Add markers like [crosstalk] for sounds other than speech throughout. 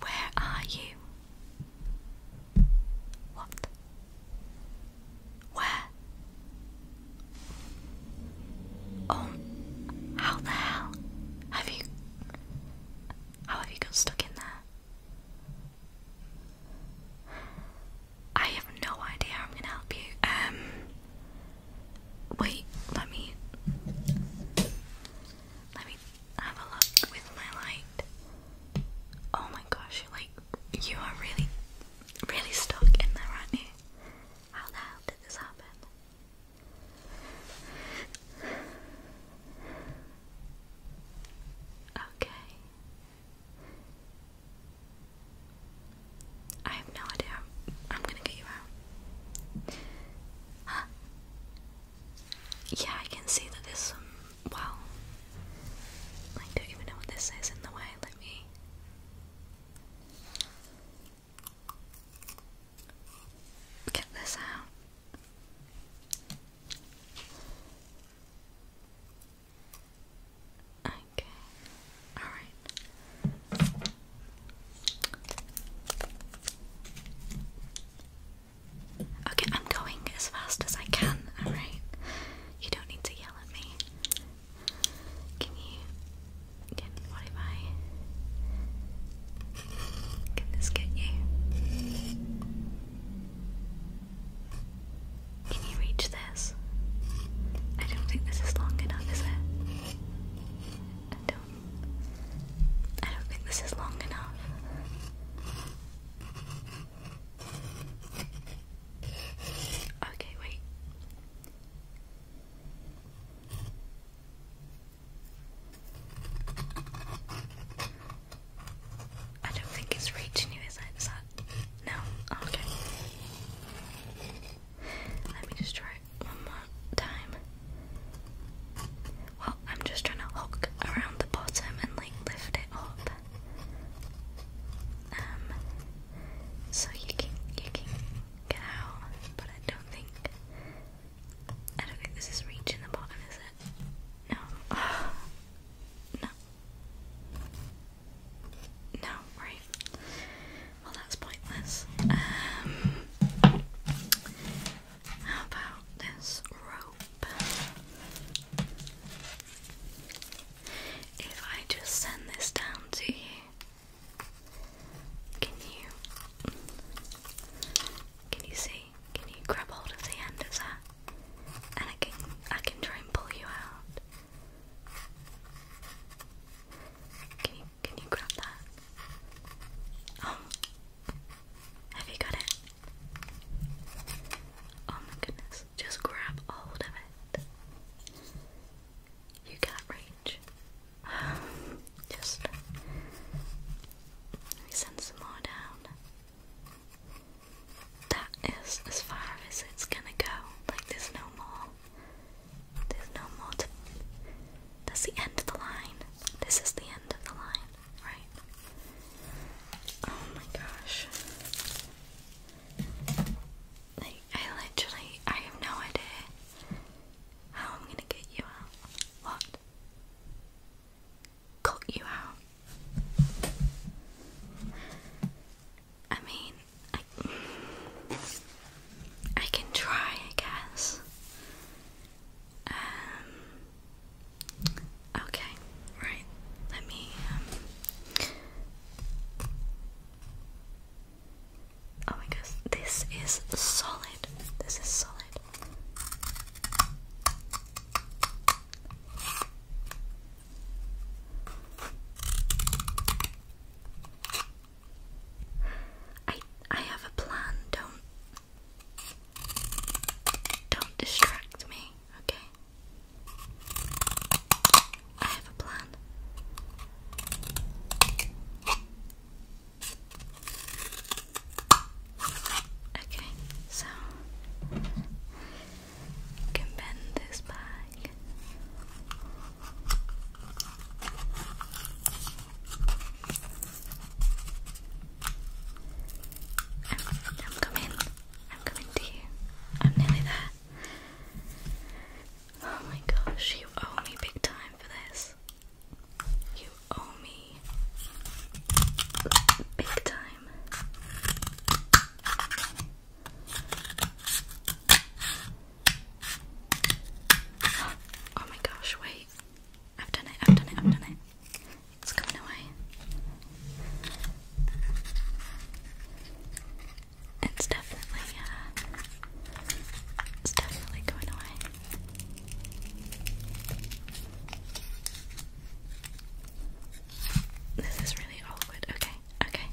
Where are you? What? Where? Oh, how the hell have you? How have you got stuck in there? I have no idea I'm gonna help you. Um, wait, let me, let me have a look with my light. Oh my gosh, you're like, you are really, really stuck in there, right now. How the hell did this happen? Okay. I have no idea. I'm, gonna get you out. [gasps] yeah, I can see that there's some. I don't even know what this is in the way. Let me. Get this out. Okay. Alright. Okay, I'm going as fast as I can, alright? You don't need to yell at me. Can you. Can, what Can this get you? Can you reach this? I don't think this is long enough, is it? I don't I don't think this is long enough. Okay, wait. I don't think it's reaching you, is No? Oh, okay. Let me just try one more time. Well, I'm just trying to hook around the bottom and like lift it up. Um, so you can you can get out, but I don't think I don't think this is reaching the bottom, is it? No. [sighs] no. No, right. Well, that's pointless. Um, how about this rope? If I just send this down to you, can you can you see? Can you grab hold of the end of that? And I can I can try and pull you out. Can you grab that? Um, have you got it? Oh my goodness, just grab hold of it. You can't reach. [sighs] just let me send some more down. That is as far as it's gonna go. Like there's no more. There's no more to... That's the end of the line. This is the end of the line, right? Oh my gosh. Like, I literally, I have no idea how I'm gonna get you out. What? Got you out. I mean, I can try, I guess. Um, okay, right. Let me. Um, oh my gosh, this is solid. This is solid. I I have a plan. Don't don't distract me, okay? I have a plan. Okay, so you can bend this back. I'm, coming. I'm coming to you. I'm nearly there. Oh my gosh, you owe me big time for this. You owe me big time. Oh my gosh, wait. I've done it, I've done it, I've done it. It's coming away. It's definitely, uh, it's definitely going away. This is really awkward. Okay, okay.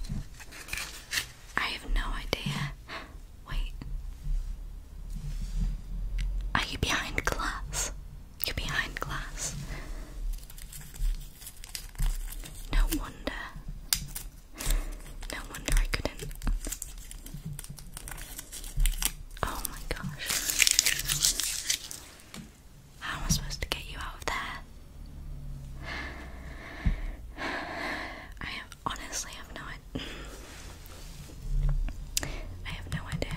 I have no idea. Wait. Are you behind glass? You're behind glass. No wonder. No wonder I couldn't. Oh my gosh. How am I supposed to get you out of there? [sighs] I honestly have no I have no idea.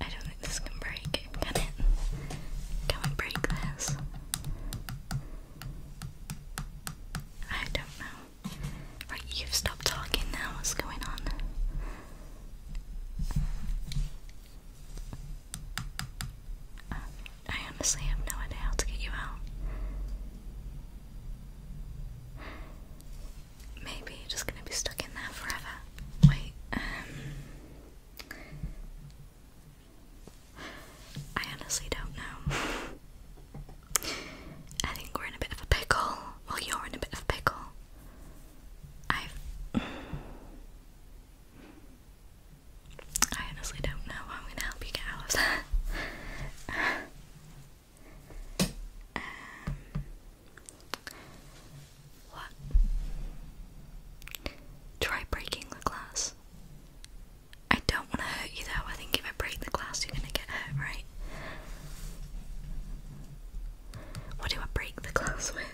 I don't think this can break. Can it? Can we break this? I don't know. Right, you've talking now. What's going on? I honestly have no idea how to get you out. Maybe you're just gonna be stuck in there forever. Wait, um. I honestly don't know. I think we're in a bit of a pickle. Well, you're in a bit of a pickle. I've. I honestly don't know I'm gonna help you get out of that. Um, what? Try breaking the glass. I don't want to hurt you though. I think if I break the glass, you're gonna get hurt, right? What do I break the glass with?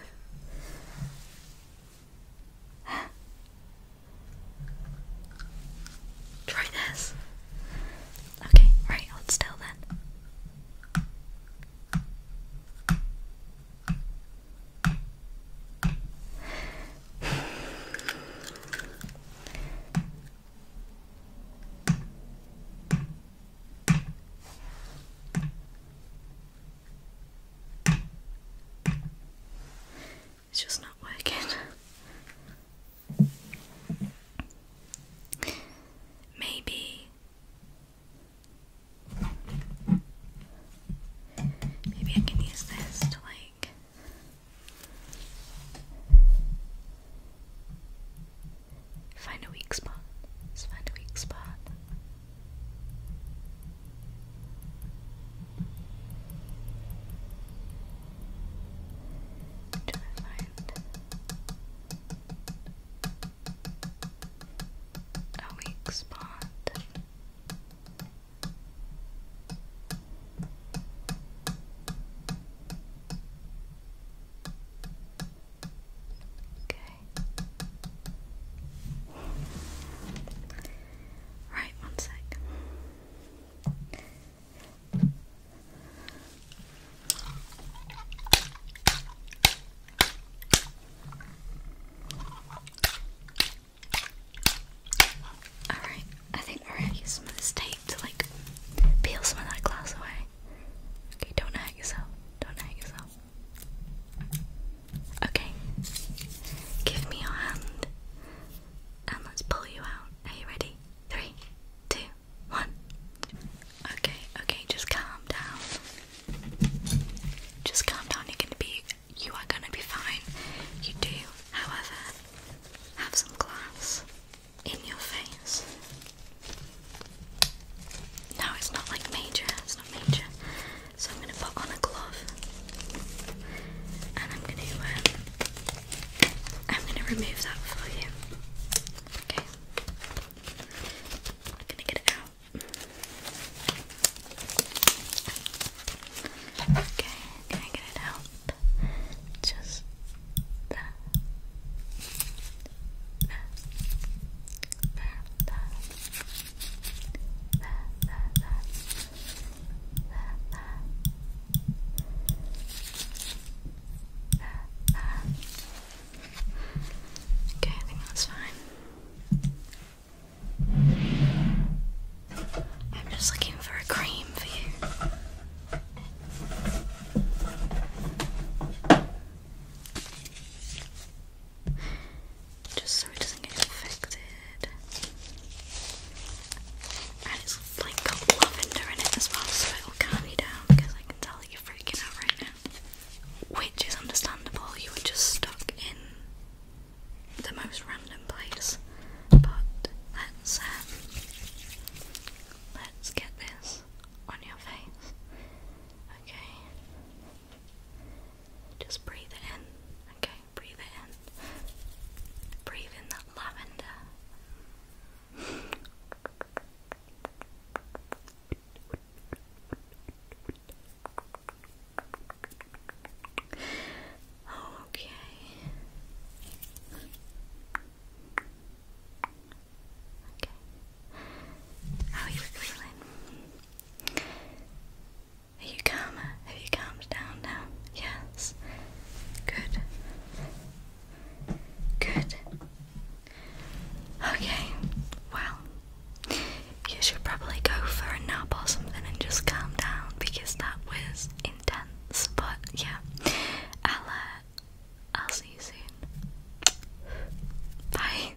Try this. Okay, right, hold still then. It's just not working. Maybe. Maybe I can use this to like. Find a weak spot. find a weak spot. Do I find? A weak spot. Okay. Right, one sec. Alright, I think we're going some of this tape to like peel some of that glass away. Okay, don't hurt yourself. Don't hurt yourself. Okay, give me your hand and let's pull you out. Are you ready? Three, two, one. Okay, okay, just calm down. Just calm down. You're gonna be, you are gonna be fine. You do, however, have some glass in your face. No, it's not like major. It's not major. So I'm going to put on a glove, and I'm going to uh, I'm going to remove that for you. Okay, going to get it out. Okay, can I get it out? Just there. There. There. Okay, I think that's fine. I'm just looking for a cream for you just so it doesn't get infected. And it's like lavender in it as well, so it'll calm you down because I can tell you're freaking out right now. Which is understandable, you were just stuck in the most random place. But let's um, let's get this on your face. Okay. Just breathe in. Okay, breathe in. Breathe in that lavender. okay. Okay. How are you feeling? Are you calm? Have you calmed down now? Yes. Good. Good. Okay. Well, you should probably go for a nap or something and just calm down because that was intense. But yeah, i uh, I'll see you soon. Bye.